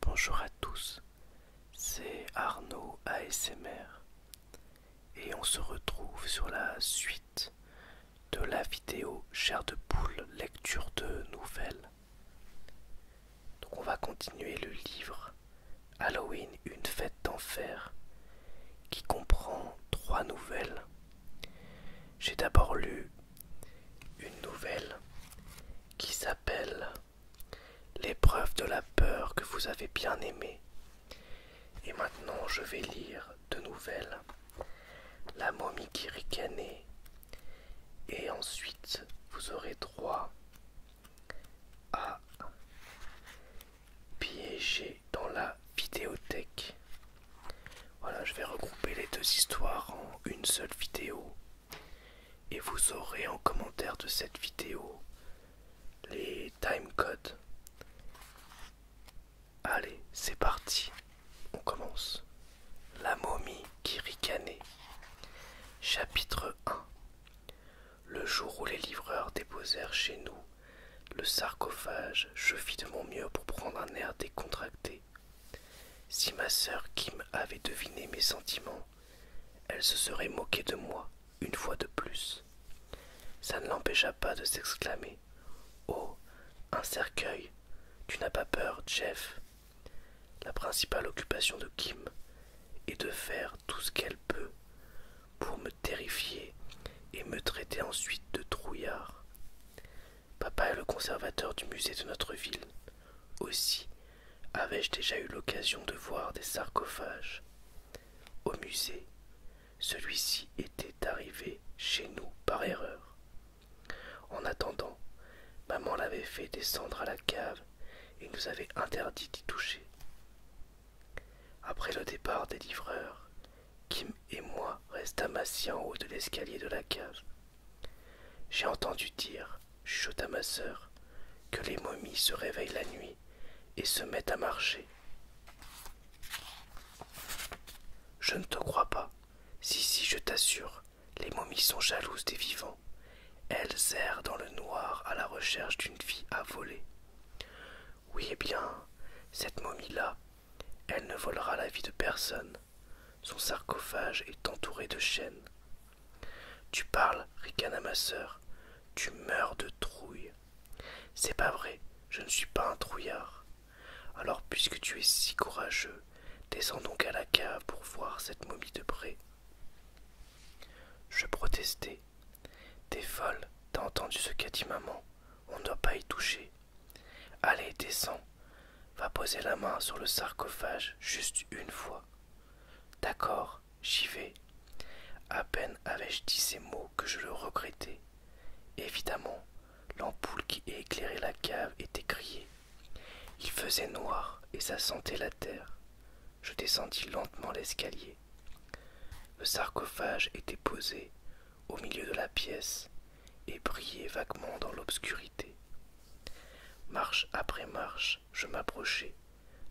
Bonjour à tous, c'est Arnaud ASMR et on se retrouve sur la suite de la vidéo Chair de poule, lecture de nouvelles. Donc on va continuer le livre Halloween, une fête d'enfer, qui comprend trois nouvelles. J'ai d'abord lu une nouvelle qui s'appelle L'épreuve de la peur que vous avez bien aimée. Et maintenant je vais lire deux nouvelles. La momie qui ricanait. Et ensuite vous aurez droit à piéger dans la vidéothèque. Voilà, je vais regrouper les deux histoires en une seule vidéo. Et vous aurez en commentaire de cette vidéo les time codes. Allez, c'est parti. On commence. La momie qui ricanait. Chapitre 1. Le jour où les livreurs déposèrent chez nous le sarcophage, je fis de mon mieux pour prendre un air décontracté. Si ma sœur Kim avait deviné mes sentiments, elle se serait moquée de moi une fois de plus. Ça ne l'empêcha pas de s'exclamer. Oh. Un cercueil. Tu n'as pas peur, Jeff. La principale occupation de Kim et de faire tout ce qu'elle peut pour me terrifier et me traiter ensuite de trouillard. Papa est le conservateur du musée de notre ville. Aussi avais-je déjà eu l'occasion de voir des sarcophages. Au musée, celui-ci était arrivé chez nous par erreur. En attendant, maman l'avait fait descendre à la cave et nous avait interdit d'y toucher. Après le départ des livreurs, Kim et moi restâmes assis en haut de l'escalier de la cave. J'ai entendu dire, à ma sœur, que les momies se réveillent la nuit et se mettent à marcher. Je ne te crois pas. Si, si, je t'assure, les momies sont jalouses des vivants. Elle errent dans le noir à la recherche d'une fille à voler. Oui, eh bien, cette momie-là, elle ne volera la vie de personne. Son sarcophage est entouré de chaînes. Tu parles, ricana ma sœur, tu meurs de trouille. C'est pas vrai, je ne suis pas un trouillard. Alors, puisque tu es si courageux, descends donc à la cave pour voir cette momie de près. Je protestai. T'es folle, t'as entendu ce qu'a dit maman, on ne doit pas y toucher. Allez, descends, va poser la main sur le sarcophage juste une fois. D'accord, j'y vais. À peine avais-je dit ces mots que je le regrettais. Évidemment, l'ampoule qui éclairait la cave était grillée. Il faisait noir et ça sentait la terre. Je descendis lentement l'escalier. Le sarcophage était posé au milieu de la pièce et brillait vaguement dans l'obscurité. Marche après marche, je m'approchai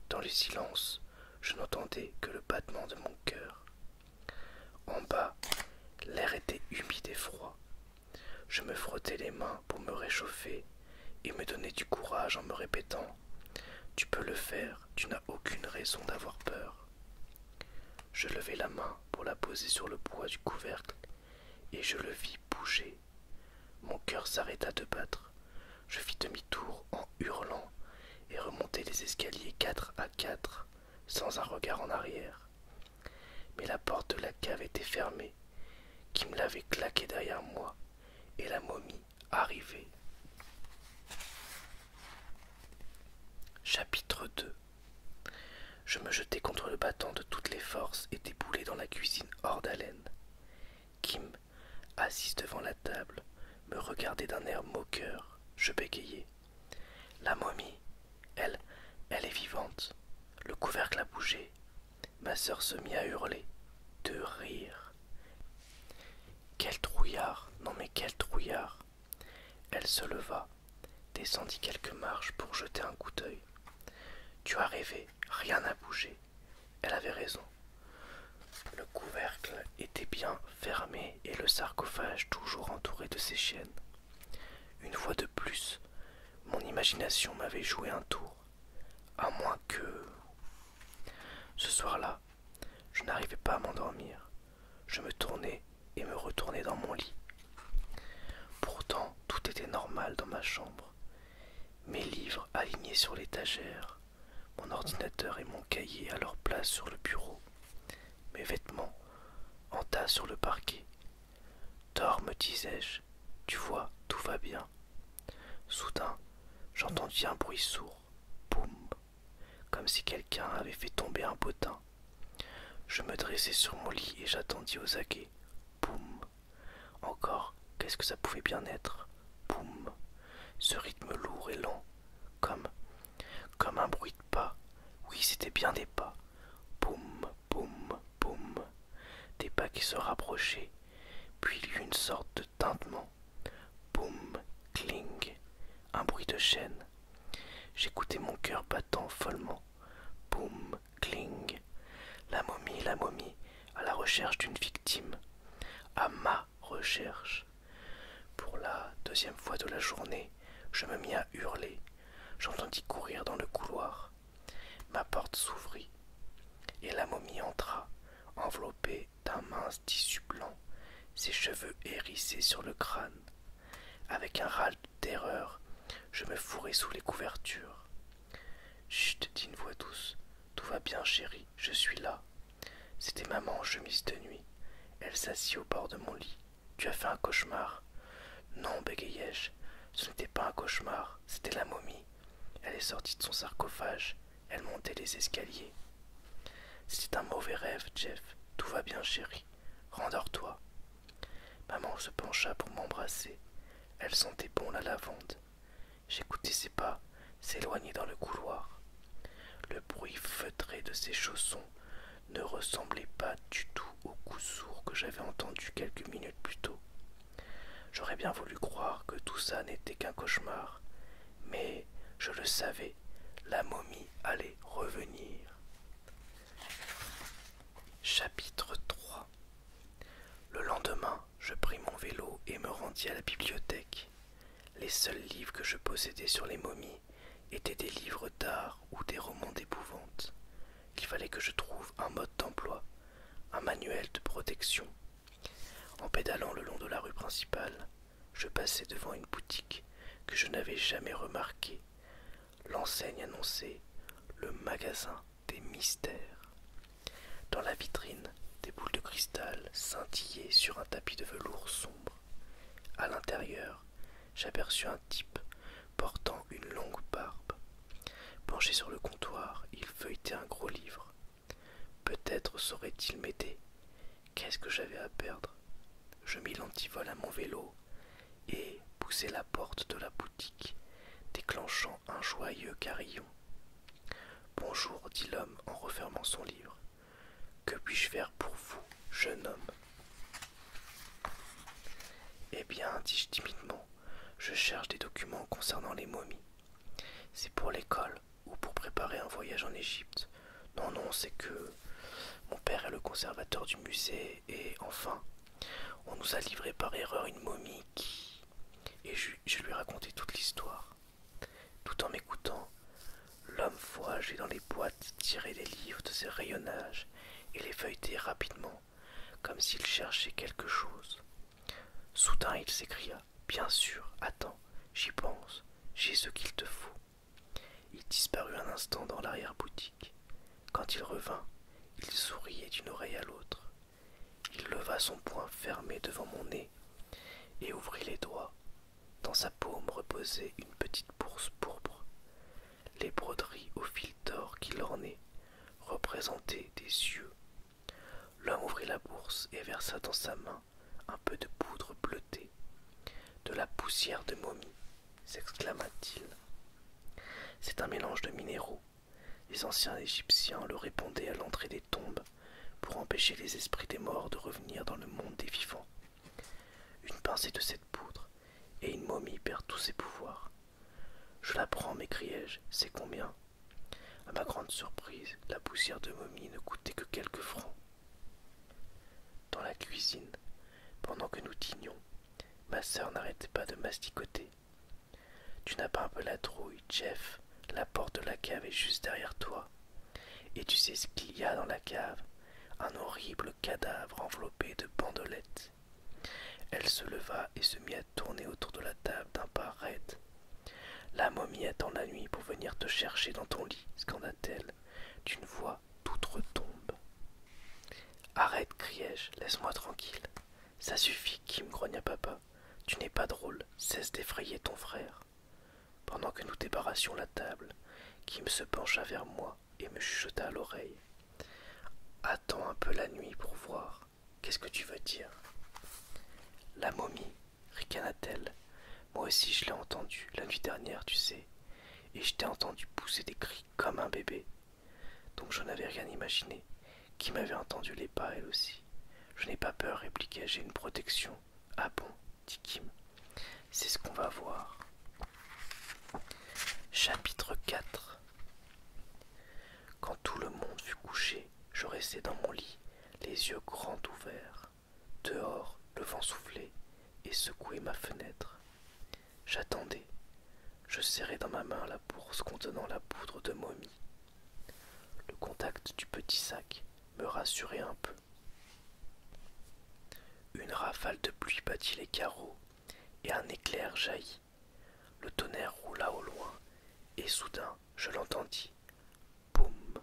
Dans le silence, je n'entendais que le battement de mon cœur. En bas, l'air était humide et froid. Je me frottais les mains pour me réchauffer et me donnait du courage en me répétant Tu peux le faire, tu n'as aucune raison d'avoir peur. Je levai la main pour la poser sur le bois du couvercle, et je le vis bouger. Mon cœur s'arrêta de battre. Je fis demi-tour en hurlant et remontai les escaliers quatre à quatre, sans un regard en arrière. Mais la porte de la cave était fermée, qui me l'avait claqué derrière moi, et la momie arrivé. Chapitre 2 Je me jetai contre le battant de toutes les forces et déboulai dans la cuisine hors d'haleine. Kim, assise devant la table, me regardait d'un air moqueur. Je bégayais. La momie, elle, elle est vivante. Le couvercle a bougé. Ma sœur se mit à hurler, de rire. Quel trouillard, non mais quel trouillard. Elle se leva, descendit quelques marches pour jeter un coup d'œil. Tu as rêvé, rien n'a bougé. Elle avait raison. Le couvercle était bien fermé et le sarcophage toujours entouré de ses chaînes. Une fois de plus, mon imagination m'avait joué un tour. À moins que... Ce soir-là, je n'arrivais pas à m'endormir. Je me tournais et me retournais dans mon lit. Pourtant, tout était normal dans ma chambre. Mes livres alignés sur l'étagère, mon ordinateur et mon cahier à leur place sur le bureau, mes vêtements en tas sur le parquet. Dors, me disais-je, tu vois, tout va bien. Soudain, j'entendis un bruit sourd. Boum Comme si quelqu'un avait fait tomber un potin. Je me dressai sur mon lit et j'attendis aux aguets. Boum Encore, qu'est-ce que ça pouvait bien être Boum Ce rythme lourd et lent, comme, comme un bruit de pas. Oui, c'était bien des pas. Boum, boum, boum. Des pas qui se rapprochaient, puis il y eut une sorte de tintement. Boum, cling, un bruit de chaîne. J'écoutais mon cœur battant follement. Boum, cling. La momie, la momie, à la recherche d'une victime. À ma recherche. Pour la deuxième fois de la journée, je me mis à hurler. J'entendis courir dans le couloir. Ma porte s'ouvrit, et la momie entra, enveloppée d'un mince tissu blanc, ses cheveux hérissés sur le crâne. Avec un râle de terreur, je me fourrai sous les couvertures. Chut, dit une voix douce. Tout va bien, chéri. je suis là. C'était maman en chemise de nuit. Elle s'assit au bord de mon lit. Tu as fait un cauchemar. Non, bégayai-je. Ce n'était pas un cauchemar, c'était la momie. Elle est sortie de son sarcophage, elle montait les escaliers. C'était un mauvais rêve, Jeff. Tout va bien, chérie. Rendors-toi. Maman se pencha pour m'embrasser. Elle sentait bon la lavande. J'écoutais ses pas s'éloigner dans le couloir. Le bruit feutré de ses chaussons ne ressemblait pas du tout au coup sourd que j'avais entendu quelques minutes plus tôt. J'aurais bien voulu croire que tout ça n'était qu'un cauchemar, mais je le savais, la momie allait revenir. Chapitre 3 Le lendemain, je pris mon vélo et me rendis à la bibliothèque. Les seuls livres que je possédais sur les momies étaient des livres d'art ou des romans d'épouvante. Il fallait que je trouve un mode d'emploi, un manuel de protection en pédalant le long de la rue principale, je passai devant une boutique que je n'avais jamais remarquée. L'enseigne annonçait le magasin des mystères. Dans la vitrine, des boules de cristal scintillaient sur un tapis de velours sombre. À l'intérieur, j'aperçus un type portant une longue barbe Penché sur le comptoir, il feuilletait un gros livre. Peut-être saurait-il m'aider. Qu'est-ce que j'avais à perdre Je mis l'antivol à mon vélo et poussai la porte de la boutique, déclenchant un joyeux carillon. Bonjour, dit l'homme en refermant son livre. Que puis-je faire pour vous, jeune homme Eh bien, dis-je timidement, je cherche des documents concernant les momies. C'est pour l'école ou pour préparer un voyage en Égypte. Non, non, c'est que mon père est le conservateur du musée et enfin, on nous a livré par erreur une momie qui... Et je, lui ai toute l'histoire. Tout en m'écoutant, l'homme voyageait dans les boîtes, tirait les livres de ses rayonnages et les feuilletait rapidement, comme s'il cherchait quelque chose. Soudain il s'écria. Bien sûr, attends, j'y pense, j'ai ce qu'il te faut. Il disparut un instant dans l'arrière-boutique. Quand il revint, il souriait d'une oreille à l'autre. Il leva son poing fermé devant mon nez et ouvrit les doigts. Dans sa paume reposait une petite bourse pourpre. Les broderies au fil d'or qui l'ornaient représentaient des yeux L'homme ouvrit la bourse et versa dans sa main un peu de poudre bleutée. De la poussière de momie, s'exclama-t-il. C'est un mélange de minéraux. Les anciens Égyptiens le répondaient à l'entrée des tombes pour empêcher les esprits des morts de revenir dans le monde des vivants. Une pincée de cette poudre et une momie perd tous ses pouvoirs. Je la prends, m'écriai-je, c'est combien À ma grande surprise, la poussière de momie ne coûtait que quelques francs. Dans la cuisine, pendant que nous dînions, ma sœur n'arrêtait pas de masticoter. Tu n'as pas un peu la trouille, Jeff. La porte de la cave est juste derrière toi. Et tu sais ce qu'il y a dans la cave Un horrible cadavre enveloppé de bandelettes. Elle se leva et se mit à tourner autour de la table d'un pas raide. La momie attend la nuit pour venir te chercher dans ton lit, scanda-t-elle, d'une voix toute retombe. Arrête, criai-je, laisse-moi tranquille. Ça suffit, Kim, grogna papa. Tu n'es pas drôle, cesse d'effrayer ton frère. Pendant que nous débarrassions la table, Kim se pencha vers moi et me chuchota à l'oreille. Attends un peu la nuit pour voir. Qu'est-ce que tu veux dire La momie, ricana-t-elle. Moi aussi je l'ai entendue la nuit dernière, tu sais, et je t'ai entendu pousser des cris comme un bébé. Donc je n'avais rien imaginé. Qui m'avait entendu les pas, elle aussi. Je n'ai pas peur, répliqua j'ai une protection. Ah bon, dit Kim. C'est ce qu'on va voir. Chapitre 4 quand tout le monde fut couché, je restai dans mon lit, les yeux grands ouverts. Dehors, le vent soufflait et secouait ma fenêtre. J'attendais. Je serrais dans ma main la bourse contenant la poudre de momie. Le contact du petit sac me rassurait un peu. Une rafale de pluie battit les carreaux et un éclair jaillit. Le tonnerre roula au loin, et soudain je l'entendis. Boum.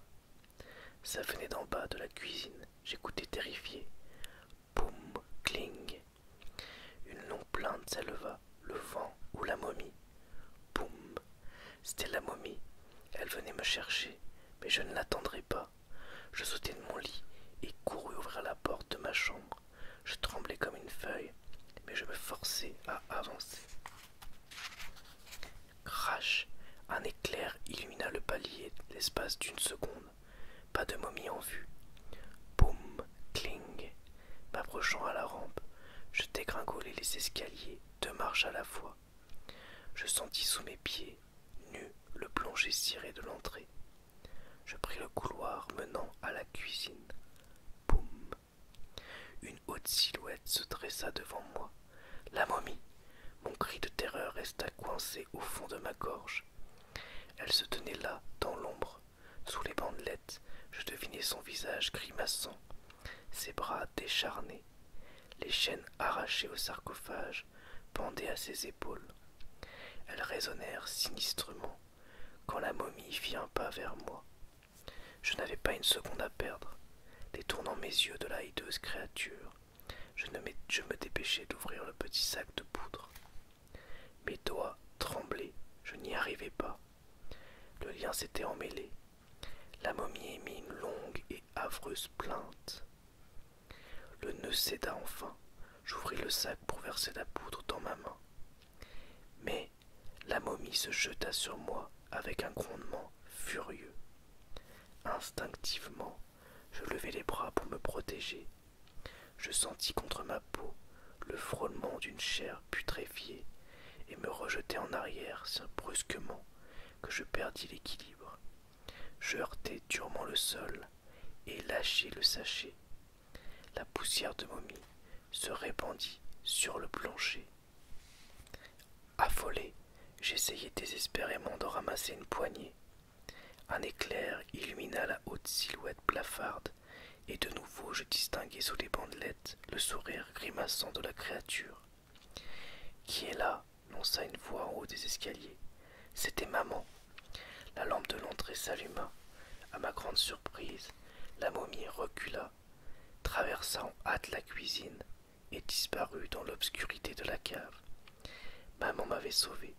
Ça venait d'en bas de la cuisine, j'écoutais terrifié. Boum, cling. Une longue plainte s'éleva, le vent ou la momie. Boum. C'était la momie. Elle venait me chercher, mais je ne l'attendrai pas. Je sautai de mon lit et courus ouvrir la porte de ma chambre. Je tremblais comme une feuille, mais je me forçai à avancer. Crash Un éclair illumina le palier l'espace d'une seconde. Pas de momie en vue. Boum Cling M'approchant à la rampe, je dégringolai les escaliers, deux marches à la fois. Je sentis sous mes pieds, nus, le plancher ciré de l'entrée. Je pris le couloir menant à la cuisine. Boum Une haute silhouette se dressa devant moi. La momie Mon cri de terreur resta coincé au fond de ma gorge. Elle se tenait là, dans l'ombre. Sous les bandelettes, je devinais son visage grimaçant, ses bras décharnés. Les chaînes arrachées au sarcophage pendaient à ses épaules. Elles résonnèrent sinistrement quand la momie fit un pas vers moi. Je n'avais pas une seconde à perdre. Détournant mes yeux de la hideuse créature, je, me dépêchais d'ouvrir le petit sac de poudre. Mes doigts tremblaient, je n'y arrivais pas. Le lien s'était emmêlé. La momie émit une longue et avreuse plainte. Le nœud céda enfin. J'ouvris le sac pour verser la poudre dans ma main. Mais la momie se jeta sur moi avec un grondement furieux. Instinctivement, je levai les bras pour me protéger. Je sentis contre ma peau le frôlement d'une chair putréfiée et me rejetai en arrière si brusquement que je perdis l'équilibre. Je heurtai durement le sol et lâchai le sachet la poussière de momie se répandit sur le plancher. Affolé, j'essayai désespérément de ramasser une poignée. Un éclair illumina la haute silhouette blafarde, et de nouveau je distinguai sous les bandelettes le sourire grimaçant de la créature. Qui est là lança une voix en haut des escaliers. C'était maman. La lampe de l'entrée s'alluma. À ma grande la momie recula, traversa en hâte la cuisine et disparut dans l'obscurité de la cave. Maman m'avait sauvé.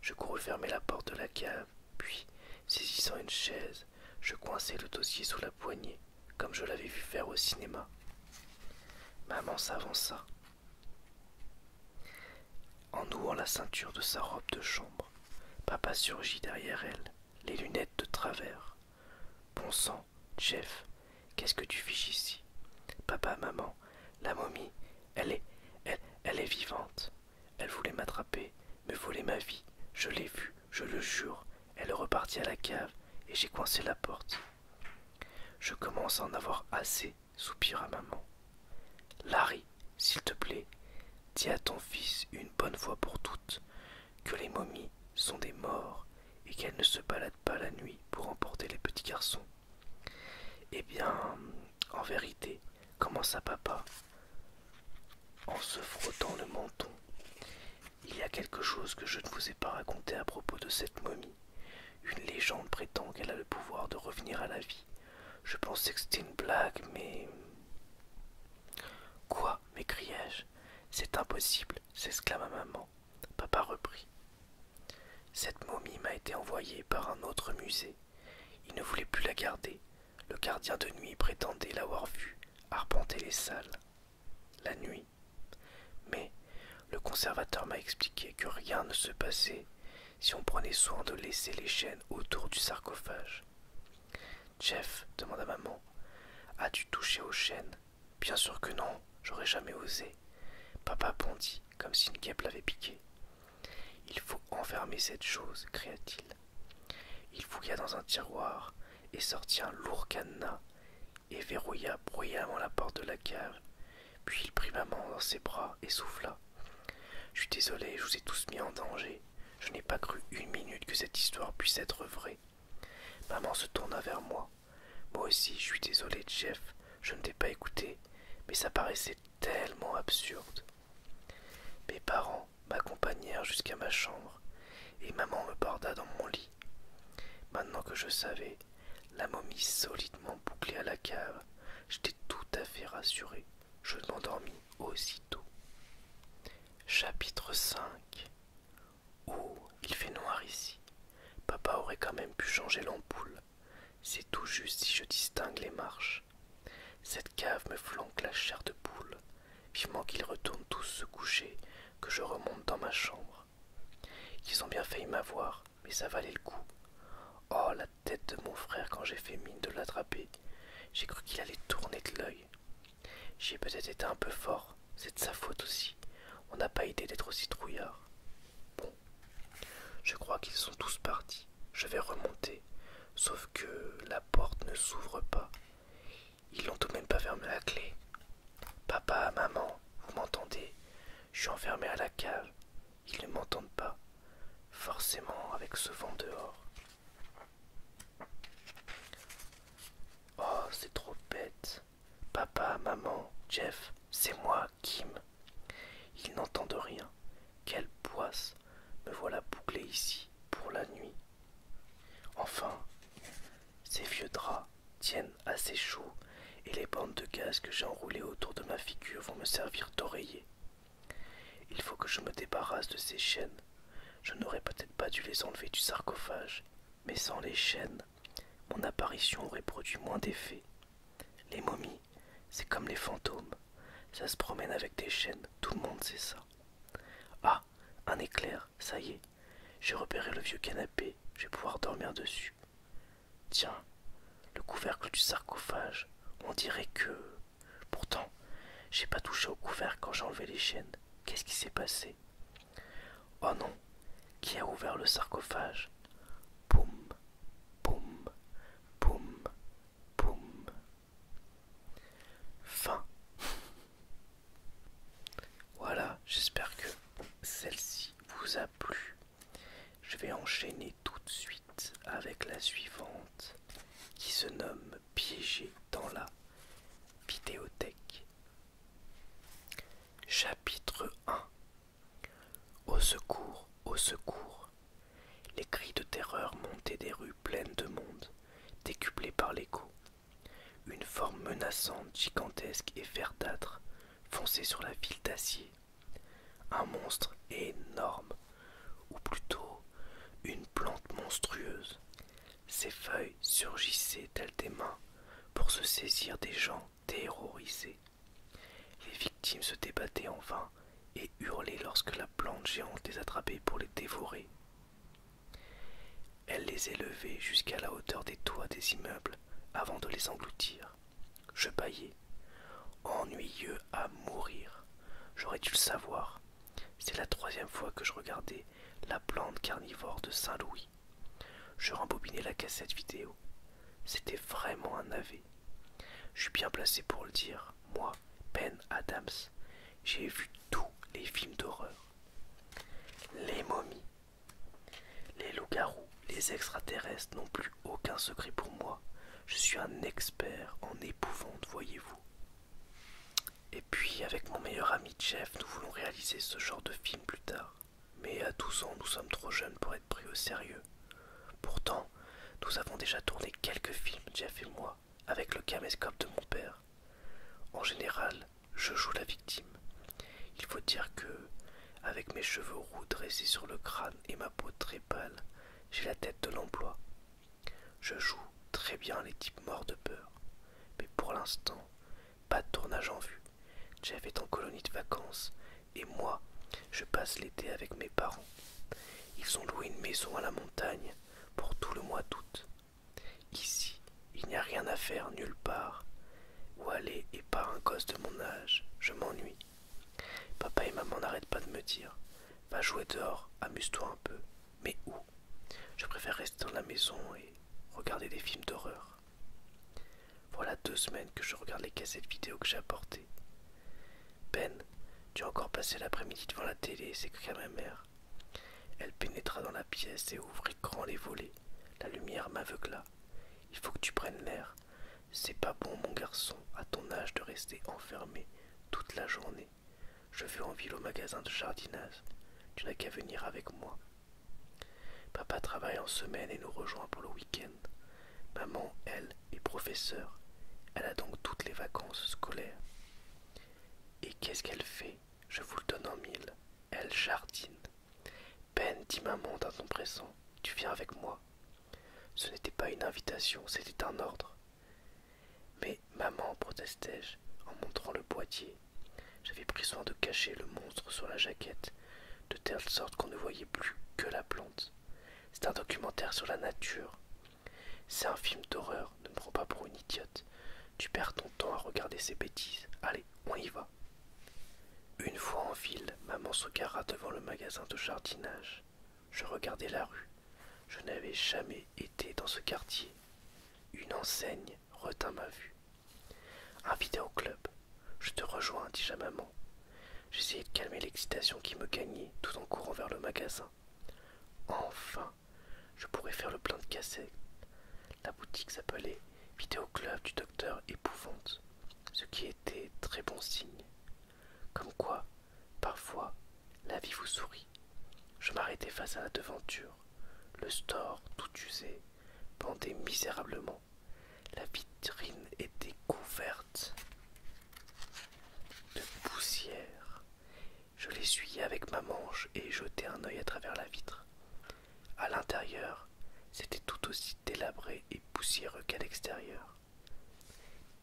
Je courus fermer la porte de la cave, puis, saisissant une chaise, je coinçai le dossier sous la poignée, comme je l'avais vu faire au cinéma. Maman s'avança. En nouant la ceinture de sa robe de chambre, papa surgit derrière elle, les lunettes de travers. Bon sang, Jeff, qu'est-ce que tu fiches ici Papa, maman, la momie, elle est, elle, elle est vivante. Elle voulait m'attraper, me voler ma vie. Je l'ai vue, je le jure. Elle est repartie à la cave et j'ai coincé la porte. Je commence à en avoir assez, soupira maman. Larry, s'il te plaît, dis à ton fils une bonne fois pour toutes que les momies sont des morts et qu'elles ne se baladent pas la nuit pour emporter les petits garçons. Eh bien, en vérité, commença papa en se frottant le menton. Il y a quelque chose que je ne vous ai pas raconté à propos de cette momie. Une légende prétend qu'elle a le pouvoir de revenir à la vie je pensais que c'était une blague, mais... Quoi m'écriai-je. C'est impossible, s'exclama maman. Papa reprit. Cette momie m'a été envoyée par un autre musée. Il ne voulait plus la garder. Le gardien de nuit prétendait l'avoir vue arpenter les salles. La nuit. Mais le conservateur m'a expliqué que rien ne se passait si on prenait soin de laisser les chaînes autour du sarcophage. Jeff demanda maman As-tu touché aux chaînes Bien sûr que non, j'aurais jamais osé. Papa bondit comme si une guêpe l'avait piqué. Il faut enfermer cette chose, cria-t-il. Il fouilla dans un tiroir et sortit un lourd cadenas et verrouilla bruyamment la porte de la cave. Puis il prit maman dans ses bras et souffla. Je suis désolé, je vous ai tous mis en danger. Je n'ai pas cru une minute que cette histoire puisse être vraie. Maman se tourna vers moi. Moi aussi, je suis désolé, Jeff, je ne t'ai pas écouté, mais ça paraissait tellement absurde. Mes parents m'accompagnèrent jusqu'à ma chambre, et maman me borda dans mon lit. Maintenant que je savais, la momie solidement bouclée à la cave, j'étais tout à fait rassuré je m'endormis aussitôt. Chapitre 5 Oh, il fait noir ici. Papa aurait quand même pu changer l'ampoule. C'est tout juste si je distingue les marches. Cette cave me flanque la chair de poule. Vivement qu'ils retournent tous se coucher, que je remonte dans ma chambre. Ils ont bien failli m'avoir, mais ça valait le coup. Oh, tête de mon frère quand j'ai fait mine de l'attraper. J'ai cru qu'il allait tourner de l'œil. J'ai peut-être été un peu fort, c'est de sa faute aussi. On n'a pas idée d'être aussi trouillard. Bon, je crois qu'ils sont tous partis. Je vais remonter, sauf que la porte ne s'ouvre pas. Ils n'ont tout de même pas fermé la clé. Papa, maman, vous m'entendez Je suis enfermé à la cave. Ils ne m'entendent pas, forcément avec ce vent dehors. Oh, c'est trop bête. Papa, maman, Jeff, c'est moi, Kim. Ils n'entendent rien. Quelle poisse. Me voilà bouclé ici pour la nuit. Enfin, ces vieux draps tiennent assez chaud et les bandes de gaz que j'ai enroulées autour de ma figure vont me servir d'oreiller. Il faut que je me débarrasse de ces chaînes. Je n'aurais peut-être pas dû les enlever du sarcophage, mais sans les chaînes, mon apparition aurait produit moins d'effet. Les momies, c'est comme les fantômes. Ça se promène avec des chaînes, tout le monde sait ça. Ah, un éclair, ça y est. J'ai repéré le vieux canapé, je vais pouvoir dormir dessus. Tiens, le couvercle du sarcophage, on dirait que... Pourtant, j'ai pas touché au couvert quand j'ai enlevé les chaînes. Qu'est-ce qui s'est passé Oh non Qui a ouvert le sarcophage Boum Boum Boum boum. Fin. Voilà, j'espère que celle-ci vous a plu. Je vais enchaîner tout de suite avec la suivante qui se nomme Piégé dans la vidéothèque. Chapitre 1 Au secours, au secours. Les cris de terreur montaient des rues pleines de monde, décuplés par l'écho. Une forme menaçante, gigantesque et verdâtre fonçait sur la ville d'acier un monstre énorme, ou plutôt une plante monstrueuse. Ses feuilles surgissaient telles des mains pour se saisir des gens terrorisés. Les victimes se débattaient en vain et hurlaient lorsque la plante géante les attrapait pour les dévorer. Elle les élevait jusqu'à la hauteur des toits des immeubles avant de les engloutir. Je paillais. Ennuyeux à mourir. J'aurais dû le savoir. C'est la troisième fois que je regardais la plante carnivore de Saint-Louis. Je rembobinais la cassette vidéo. C'était vraiment un ave. Je suis bien placé pour le dire. Moi, Ben Adams, j'ai vu tous les films d'horreur. Les momies. Les loups-garous, les extraterrestres non plus aucun secret pour moi. Je suis un expert en épouvante, voyez-vous. Et puis, avec mon meilleur ami Jeff, nous voulons réaliser ce genre de film plus tard. Mais à 12 ans, nous sommes trop jeunes pour être pris au sérieux. Pourtant, nous avons déjà tourné quelques films, Jeff et moi, avec le caméscope de mon père. En général, je joue la victime. Il faut dire que, avec mes cheveux roux dressés sur le crâne et ma peau très pâle, j'ai la tête de l'emploi. Je joue très bien les types morts de peur. Mais pour l'instant, pas de tournage en vue. Jeff est en colonie de vacances et moi, je passe l'été avec mes parents. Ils ont loué une maison à la montagne pour tout le mois d'août. Ici, il n'y a rien à faire nulle part. Où aller et par un gosse de mon âge, je m'ennuie. Papa et maman n'arrêtent pas de me dire Va jouer dehors, amuse-toi un peu. Mais où Je préfère rester dans la maison et regarder des films d'horreur. Voilà deux semaines que je regarde les cassettes vidéo que j'ai apportées. Ben, tu as encore passé l'après-midi devant la télé, s'écria ma mère. Elle pénétra dans la pièce et ouvrit grand les volets. La lumière m'aveugla. Il faut que tu prennes l'air. C'est pas bon, mon garçon, à ton âge, de rester enfermé toute la journée. Je veux en ville au magasin de jardinage. Tu n'as qu'à venir avec moi. Papa travaille en semaine et nous rejoint pour le week-end. Maman, elle, est professeure. Elle a donc toutes les vacances scolaires. Et qu'est-ce qu'elle fait Je vous le donne en mille. Elle jardine. Ben, dis, maman dans ton pressant, tu viens avec moi. Ce n'était pas une invitation, c'était un ordre. Mais maman, protestai-je en montrant le boîtier. J'avais pris soin de cacher le monstre sur la jaquette, de telle sorte qu'on ne voyait plus que la plante. C'est un documentaire sur la nature. C'est un film d'horreur, ne me prends pas pour une idiote. Tu perds ton temps à regarder ces bêtises. Allez, on y va. Une fois en ville, maman se gara devant le magasin de jardinage. Je regardai la rue. Je n'avais jamais été dans ce quartier. Une enseigne retint ma vue. Un vidéoclub. je te rejoins, dis à maman. J'essayais de calmer l'excitation qui me gagnait tout en courant vers le magasin. Enfin, je pourrais faire le plein de cassettes. La boutique s'appelait Vidéoclub du docteur Épouvante, ce qui était très bon signe. Comme quoi, parfois, la vie vous sourit. Je m'arrêtai face à la devanture. Le store, tout usé, pendait misérablement. La vitrine était couverte de poussière. Je l'essuyai avec ma manche et jetai un œil à travers la vitre. À l'intérieur, c'était tout aussi délabré et poussiéreux qu'à l'extérieur.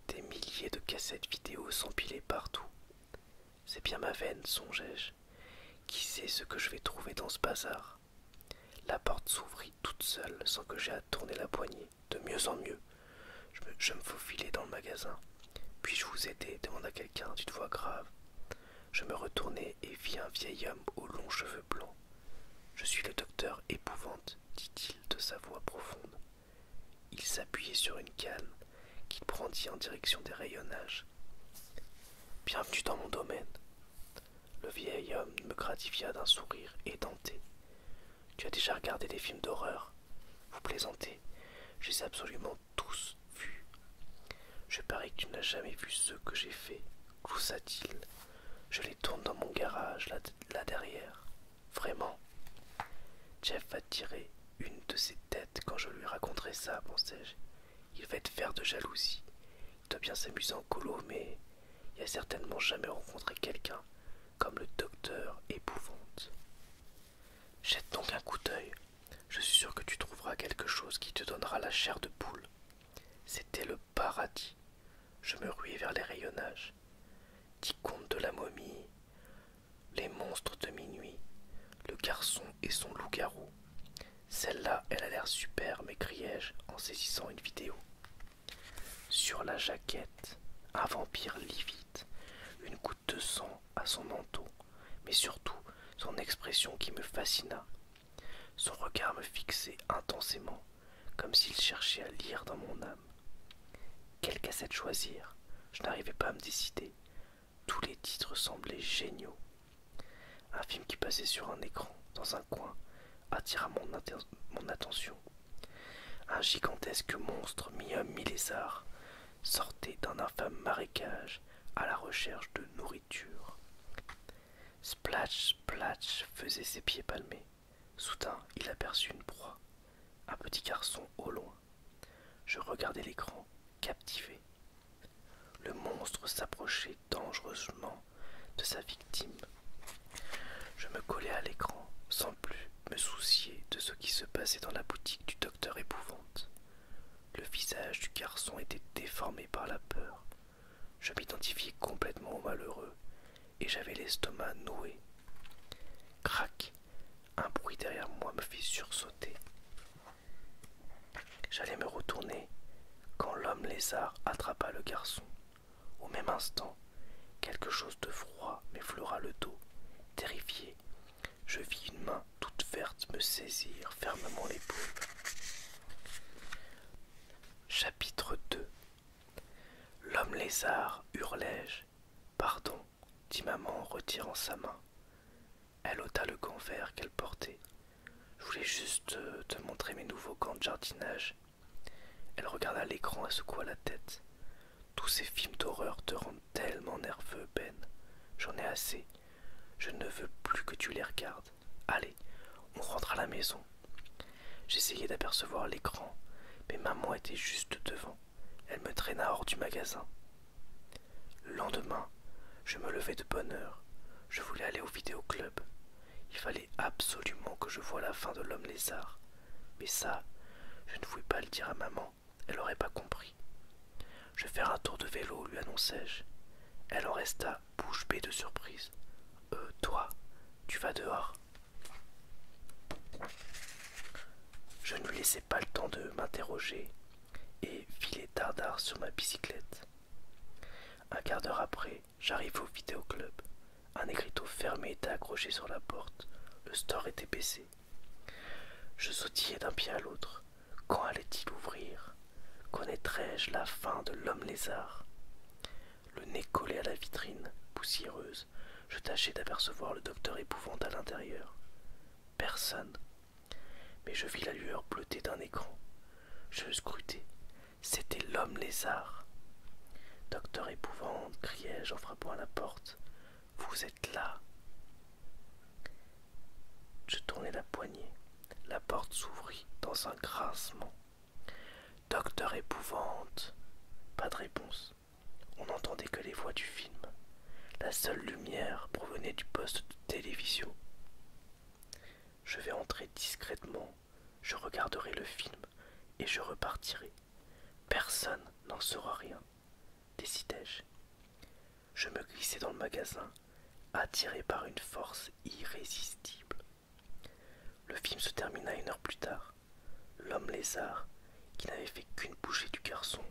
Des milliers de cassettes vidéo s'empilaient partout. C'est bien ma veine, songeai-je. Qui sait ce que je vais trouver dans ce bazar La porte s'ouvrit toute seule sans que j'aie à tourner la poignée, de mieux en mieux. Je me, je faufilai dans le magasin. Puis-je vous aider demanda quelqu'un d'une voix grave. Je me retournai et vis un vieil homme aux longs cheveux blancs. Je suis le docteur épouvante, dit-il de sa voix profonde. Il s'appuyait sur une canne qu'il brandit en direction des rayonnages. Bienvenue dans mon domaine. Le vieil homme me gratifia d'un sourire édenté. Tu as déjà regardé des films d'horreur Vous plaisantez Je les ai absolument tous vus. Je parie que tu n'as jamais vu ceux que j'ai faits, gloussa-t-il. Je les tourne dans mon garage, là derrière. Vraiment Jeff va tirer une de ses têtes quand je lui raconterai ça, pensais-je. Il va être faire de jalousie. Il doit bien s'amuser en colo, mais il a certainement jamais rencontré quelqu'un comme le docteur épouvante. Jette donc un coup d'œil. Je suis sûr que tu trouveras quelque chose qui te donnera la chair de poule. C'était le paradis. Je me ruais vers les rayonnages. Dix contes de la momie, les monstres de minuit, le garçon et son loup-garou. Celle-là, elle a l'air superbe, m'écriai-je en saisissant une vidéo. Sur la jaquette, un vampire livide, une goutte de sang à son manteau, mais surtout son expression qui me fascina. Son regard me fixait intensément, comme s'il cherchait à lire dans mon âme. Quelle cassette choisir Je n'arrivais pas à me décider. Tous les titres semblaient géniaux. Un film qui passait sur un écran, dans un coin, attira mon, attention. Un gigantesque monstre, mi-homme, mi-lézard, sortait d'un infâme marécage à la recherche de nourriture. Splash Splash faisait ses pieds palmés. Soudain, il aperçut une proie, un petit garçon au loin. Je regardais l'écran, captivé. Le monstre s'approchait dangereusement de sa victime. Je me collai à l'écran, sans plus me soucier de ce qui se passait dans la boutique du docteur épouvante. Le visage du garçon était déformé par la peur. Je m'identifiais complètement au malheureux et j'avais l'estomac noué. Crac Un bruit derrière moi me fit sursauter. J'allais me retourner quand l'homme lézard attrapa le garçon. Au même instant, quelque chose de froid m'effleura le dos. Terrifié, je vis une main toute verte me saisir fermement l'épaule. Chapitre 2 L'homme lézard, hurlai-je. Pardon, dit maman en retirant sa main. Elle ôta le gant vert qu'elle portait. Je voulais juste te, euh, te montrer mes nouveaux gants de jardinage. Elle regarda l'écran et secoua la tête. Tous ces films d'horreur te rendent tellement nerveux, Ben. J'en ai assez. Je ne veux plus que tu les regardes. Allez, on rentra à la maison. J'essayais d'apercevoir l'écran, mais maman était juste devant. Elle me traîna hors du magasin. Le lendemain, je me levai de bonne heure. Je voulais aller au vidéoclub. Il fallait absolument que je voie la fin de l'homme lézard. Mais ça, je ne pouvais pas le dire à maman, elle n'aurait pas compris. Je vais faire un tour de vélo, lui annonçai-je. Elle en resta bouche bée de surprise. Euh, toi, tu vas dehors je ne lui laissais pas le temps de m'interroger et filai tardard sur ma bicyclette. Un quart d'heure après, j'arrive au vidéoclub. Un écriteau fermé était accroché sur la porte. Le store était baissé. Je sautillais d'un pied à l'autre. Quand allait-il ouvrir Connaîtrais-je la fin de l'homme lézard le nez collé à la vitrine, poussiéreuse, je tâchais d'apercevoir le docteur épouvante à l'intérieur. Personne. Mais je vis la lueur bleutée d'un écran. Je scrutai. C'était l'homme lézard. Docteur épouvante, criai-je en frappant à la porte. Vous êtes là. Je tournai la poignée. La porte s'ouvrit dans un grincement. Docteur épouvante. Pas de réponse. On n'entendait que les voix du film. La seule lumière provenait du poste de télévision. Je vais entrer discrètement, je regarderai le film et je repartirai. Personne n'en saura rien, décidai-je. Je me glissai dans le magasin, attiré par une force irrésistible. Le film se termina une heure plus tard. L'homme lézard, qui n'avait fait qu'une bouchée du garçon,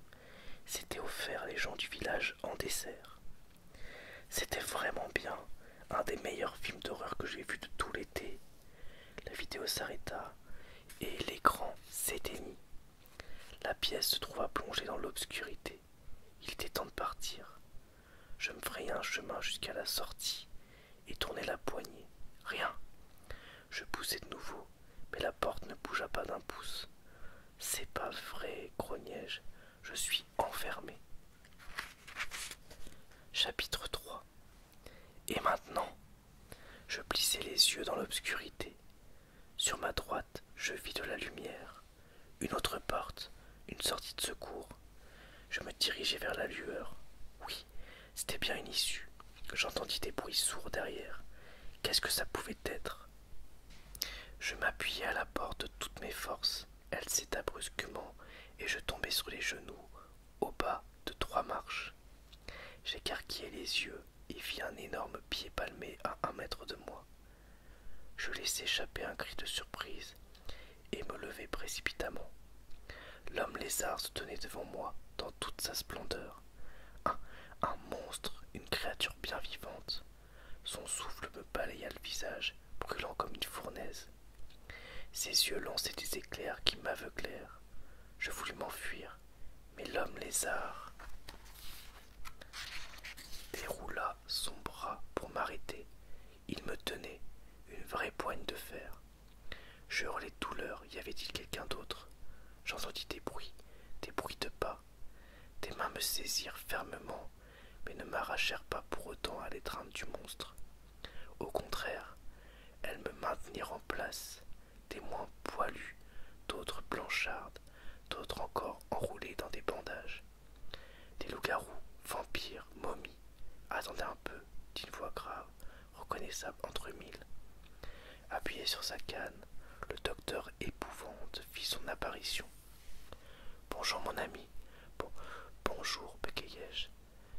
s'était offert les gens du village en dessert. C'était vraiment bien, un des meilleurs films d'horreur que j'ai vu de tout l'été. La vidéo s'arrêta et l'écran s'éteignit. La pièce se trouva plongée dans l'obscurité. Il était temps de partir. Je me frayai un chemin jusqu'à la sortie et tournai la poignée. Rien. Je poussai de nouveau, mais la porte ne bougea pas d'un pouce. C'est pas vrai, grognai-je. Je suis enfermé. Chapitre 3 Et maintenant Je plissai les yeux dans l'obscurité. Sur ma droite, je vis de la lumière. Une autre porte, une sortie de secours. Je me dirigeai vers la lueur. Oui, c'était bien une issue. J'entendis des bruits sourds derrière. Qu'est-ce que ça pouvait être Je m'appuyai à la porte de toutes mes forces. Elle s'éta brusquement et je tombai sur les genoux, au bas de trois marches. J'écarquillai les yeux et vis un énorme pied palmé à un mètre de moi. Je laissai échapper un cri de surprise et me levai précipitamment. L'homme lézard se tenait devant moi dans toute sa splendeur. Un, un monstre, une créature bien vivante. Son souffle me balaya le visage, brûlant comme une fournaise. Ses yeux lançaient des éclairs qui m'aveuglèrent. Je voulus m'enfuir, mais l'homme lézard déroula son bras pour m'arrêter, il me tenait, une vraie poigne de fer. Je hurlais douleur, y avait-il quelqu'un d'autre J'entendis des bruits, des bruits de pas. Des mains me saisirent fermement, mais ne m'arrachèrent pas pour autant à l'étreinte du monstre. Au contraire, elles me maintenirent en place, des moins poilus, d'autres blanchardes, d'autres encore enroulés dans des bandages. Des loups-garous, vampires, momies, Attendez un peu, dit une voix grave, reconnaissable entre mille. Appuyé sur sa canne, le docteur épouvante fit son apparition. Bonjour mon ami. bonjour, bégayai-je.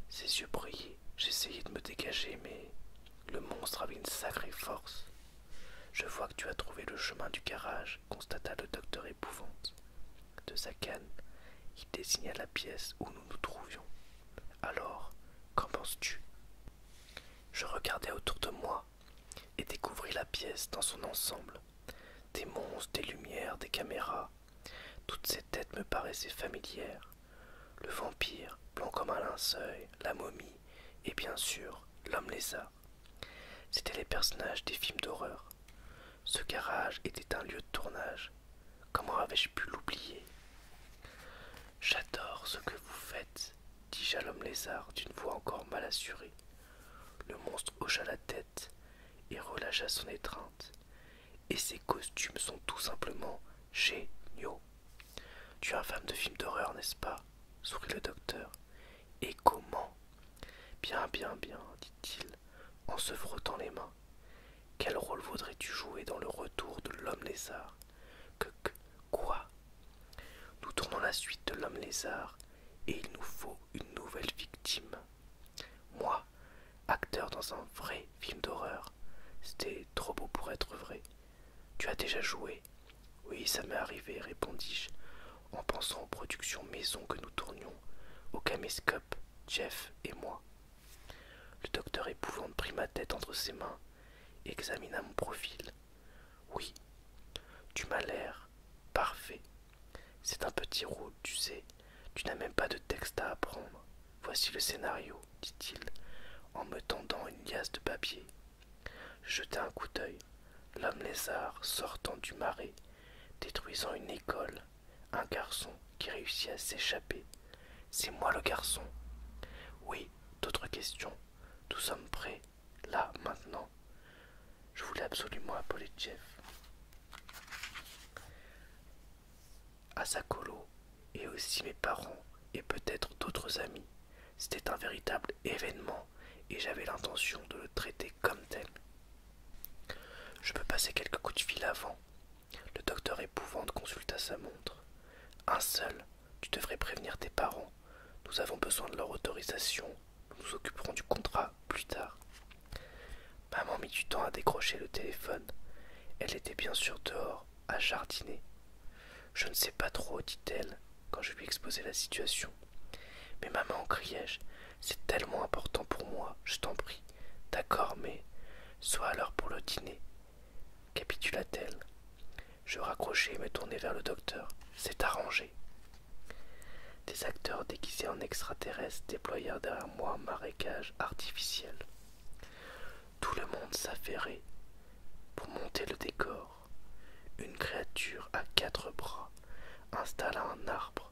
Ses yeux brillaient. J'essayais de me dégager, mais le monstre avait une sacrée force. Je vois que tu as trouvé le chemin du garage, constata le docteur épouvante. De sa canne, il désigna la pièce où nous nous trouvions. Alors, qu'en penses-tu Je regardai autour de moi et découvris la pièce dans son ensemble. Des monstres, des lumières, des caméras. Toutes ces têtes me paraissaient familières. Le vampire, blanc comme un linceul, la momie et bien sûr l'homme lézard. C'étaient les personnages des films d'horreur. Ce garage était un lieu de tournage. Comment avais-je pu l'oublier J'adore ce que vous faites, Dit je lézard d'une voix encore mal assurée. Le monstre hocha la tête et relâcha son étreinte. Et ses costumes sont tout simplement géniaux. Tu es un femme de film d'horreur, n'est-ce pas sourit le docteur. Et comment Bien, bien, bien, dit-il en se frottant les mains. Quel rôle voudrais-tu jouer dans le retour de l'homme lézard que, que quoi Nous tournons la suite de l'homme lézard et il nous faut une nouvelle victime. Moi, acteur dans un vrai film d'horreur, c'était trop beau pour être vrai. Tu as déjà joué Oui, ça m'est arrivé, répondis-je, en pensant aux productions maison que nous tournions au caméscope Jeff et moi. Le docteur épouvante prit ma tête entre ses mains, examina mon profil. Oui, tu m'as l'air parfait. C'est un petit rôle, tu sais. Tu n'as même pas de texte à apprendre. Voici le scénario, dit-il, en me tendant une liasse de papier. Je un coup d'œil. L'homme lézard sortant du marais, détruisant une école, un garçon qui réussit à s'échapper. C'est moi le garçon. Oui, d'autres questions. Nous sommes prêts, là, maintenant. Je voulais absolument appeler Jeff. Asakolo, et aussi mes parents, et peut-être d'autres amis. C'était un véritable événement, et j'avais l'intention de le traiter comme tel. Je peux passer quelques coups de fil avant. Le docteur épouvante consulta sa montre. Un seul, tu devrais prévenir tes parents. Nous avons besoin de leur autorisation. Nous nous occuperons du contrat plus tard. Maman mit du temps à décrocher le téléphone. Elle était bien sûr dehors, à jardiner. Je ne sais pas trop, dit-elle, quand je lui exposai la situation. Mais maman, criai-je, c'est tellement important pour moi, je t'en prie. D'accord, mais sois à l'heure pour le dîner. Capitula-t-elle. Je raccrochai et me tournai vers le docteur. C'est arrangé. Des acteurs déguisés en extraterrestres déployèrent derrière moi un marécage artificiel. Tout le monde s'affairait pour monter le décor. Une créature à quatre bras installa un arbre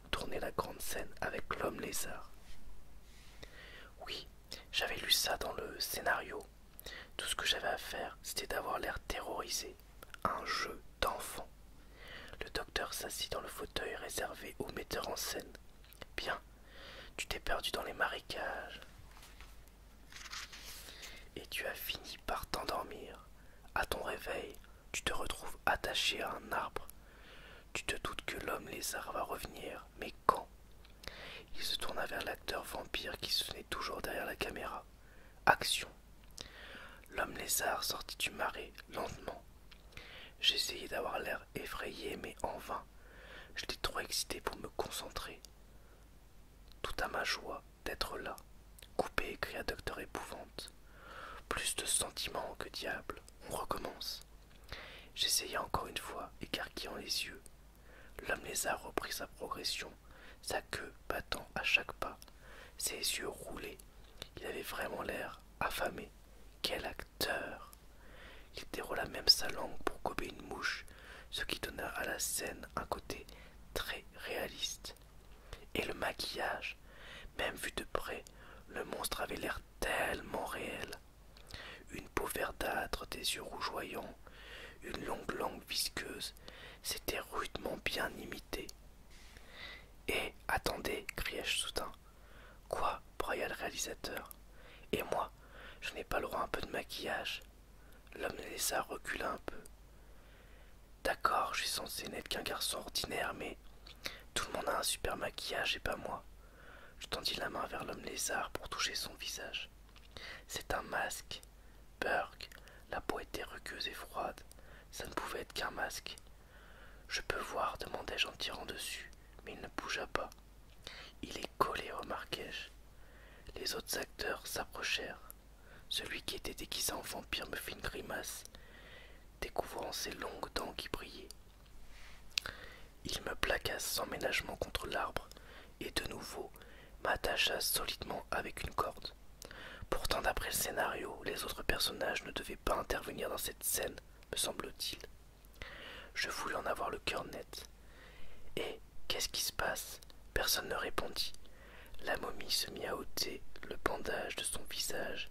tourner la grande scène avec l'homme lézard. Oui, j'avais lu ça dans le scénario. Tout ce que j'avais à faire, c'était d'avoir l'air terrorisé. Un jeu d'enfant. Le docteur s'assit dans le fauteuil réservé au metteur en scène. Bien, tu t'es perdu dans les marécages. Et tu as fini par t'endormir. À ton réveil, tu te retrouves attaché à un arbre. Tu te doutes que l'homme lézard va revenir, mais quand Il se tourna vers l'acteur vampire qui se tenait toujours derrière la caméra. Action L'homme lézard sortit du marais lentement. J'essayais d'avoir l'air effrayé, mais en vain. J'étais trop excité pour me concentrer. Tout à ma joie d'être là. Coupé, cria Docteur Épouvante. Plus de sentiments que diable on recommence. J'essayai encore une fois, écarquillant les yeux. L'homme lézard reprit sa progression, sa queue battant à chaque pas, ses yeux roulés. Il avait vraiment l'air affamé. Quel acteur Il déroula même sa langue pour gober une mouche, ce qui donna à la scène un côté très réaliste. Et le maquillage, même vu de près, le monstre avait l'air tellement réel. Une peau verdâtre, des yeux rougeoyants, une longue langue visqueuse, c'était rudement bien imité. Et attendez, criai-je soudain. Quoi broya le réalisateur. Et moi, je n'ai pas le droit à un peu de maquillage. L'homme laissa reculer un peu. D'accord, je suis censé n'être qu'un garçon ordinaire, mais tout le monde a un super maquillage et pas moi. Je tendis la main vers l'homme lézard pour toucher son visage. C'est un masque. Burke, la peau était rugueuse et froide. Ça ne pouvait être qu'un masque. Je peux voir, demandai-je en tirant dessus, mais il ne bougea pas. Il est collé, remarquai-je. Les autres acteurs s'approchèrent. Celui qui était déguisé en vampire me fit une grimace découvrant ses longues dents qui brillaient. Il me plaqua sans ménagement contre l'arbre et de nouveau m'attacha solidement avec une corde. Pourtant, d'après le scénario, les autres personnages ne devaient pas intervenir dans cette scène, me semble-t-il. Je voulais en avoir le cœur net. Et qu'est-ce qui se passe Personne ne répondit. La momie se mit à ôter le bandage de son visage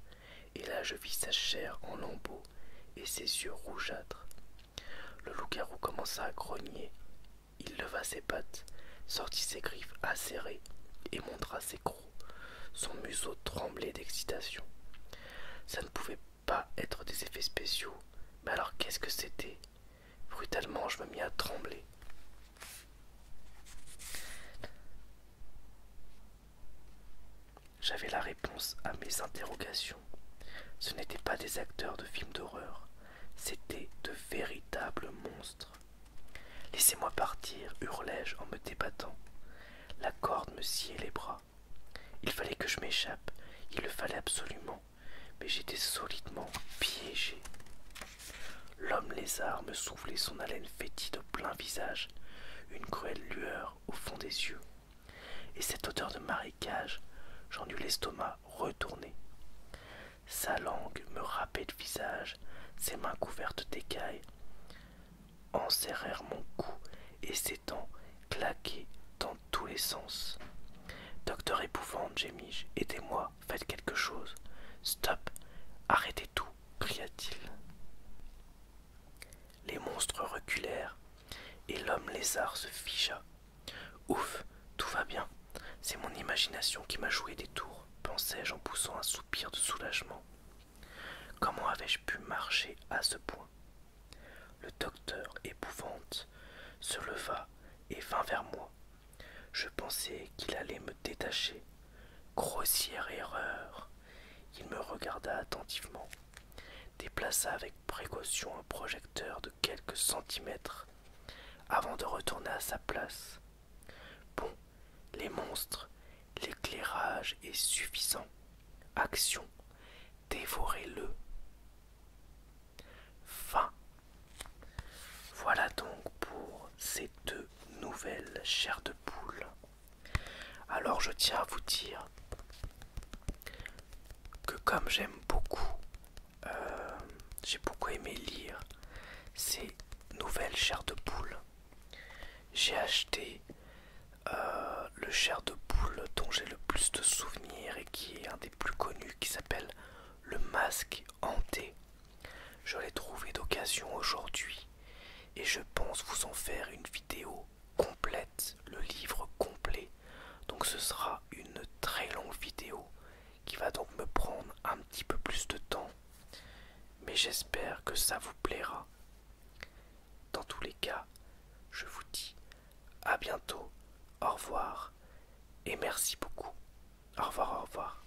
et là je vis sa chair en lambeaux et ses yeux rougeâtres. Le loup-garou commença à grogner. Il leva ses pattes, sortit ses griffes acérées et montra ses crocs. Son museau tremblait d'excitation. Ça ne pouvait pas être des effets spéciaux, mais alors qu'est-ce que c'était Brutalement, je me mis à trembler. J'avais la réponse à mes interrogations. Ce n'étaient pas des acteurs de films d'horreur, c'étaient de véritables monstres. Laissez-moi partir, hurlai-je en me débattant. La corde me sciait les bras. Il fallait que je m'échappe, il le fallait absolument, mais j'étais solidement piégé. L'homme lézard me soufflait son haleine fétide au plein visage une cruelle lueur au fond des yeux. Et cette odeur de marécage, j'en eus l'estomac retourné. Sa langue me râpait le visage, ses mains couvertes d'écailles enserrèrent mon cou et ses dents claquaient dans tous les sens. Docteur épouvante, j'émige aidez-moi, faites quelque chose. Stop, arrêtez tout, cria-t-il. Les monstres reculèrent et l'homme lézard se figea. Ouf, tout va bien. C'est mon imagination qui m'a joué des tours, pensai-je en poussant un soupir de soulagement. Comment avais-je pu marcher à ce point Le docteur, épouvante, se leva et vint vers moi. Je pensais qu'il allait me détacher, Grossière erreur. Il me regarda attentivement, déplaça avec précaution un projecteur de quelques centimètres avant de retourner à sa place. Bon, les monstres, l'éclairage est suffisant. Action, dévorez-le. Fin. Voilà donc pour ces deux nouvelles chairs de poule. Alors je tiens à vous dire que comme j'aime beaucoup, euh, j'ai beaucoup aimé lire ces nouvelles chairs de poule. J'ai acheté euh, le chair de poule dont j'ai le plus de souvenirs et qui est un des plus connus qui s'appelle le masque hanté je l'ai trouvé d'occasion aujourd'hui et je pense vous en faire une vidéo complète, le livre complet. Donc ce sera une très longue vidéo qui va donc me prendre un petit peu plus de temps. Mais j'espère que ça vous plaira. Dans tous les cas, je vous dis à bientôt, au revoir et merci beaucoup. Au revoir, au revoir.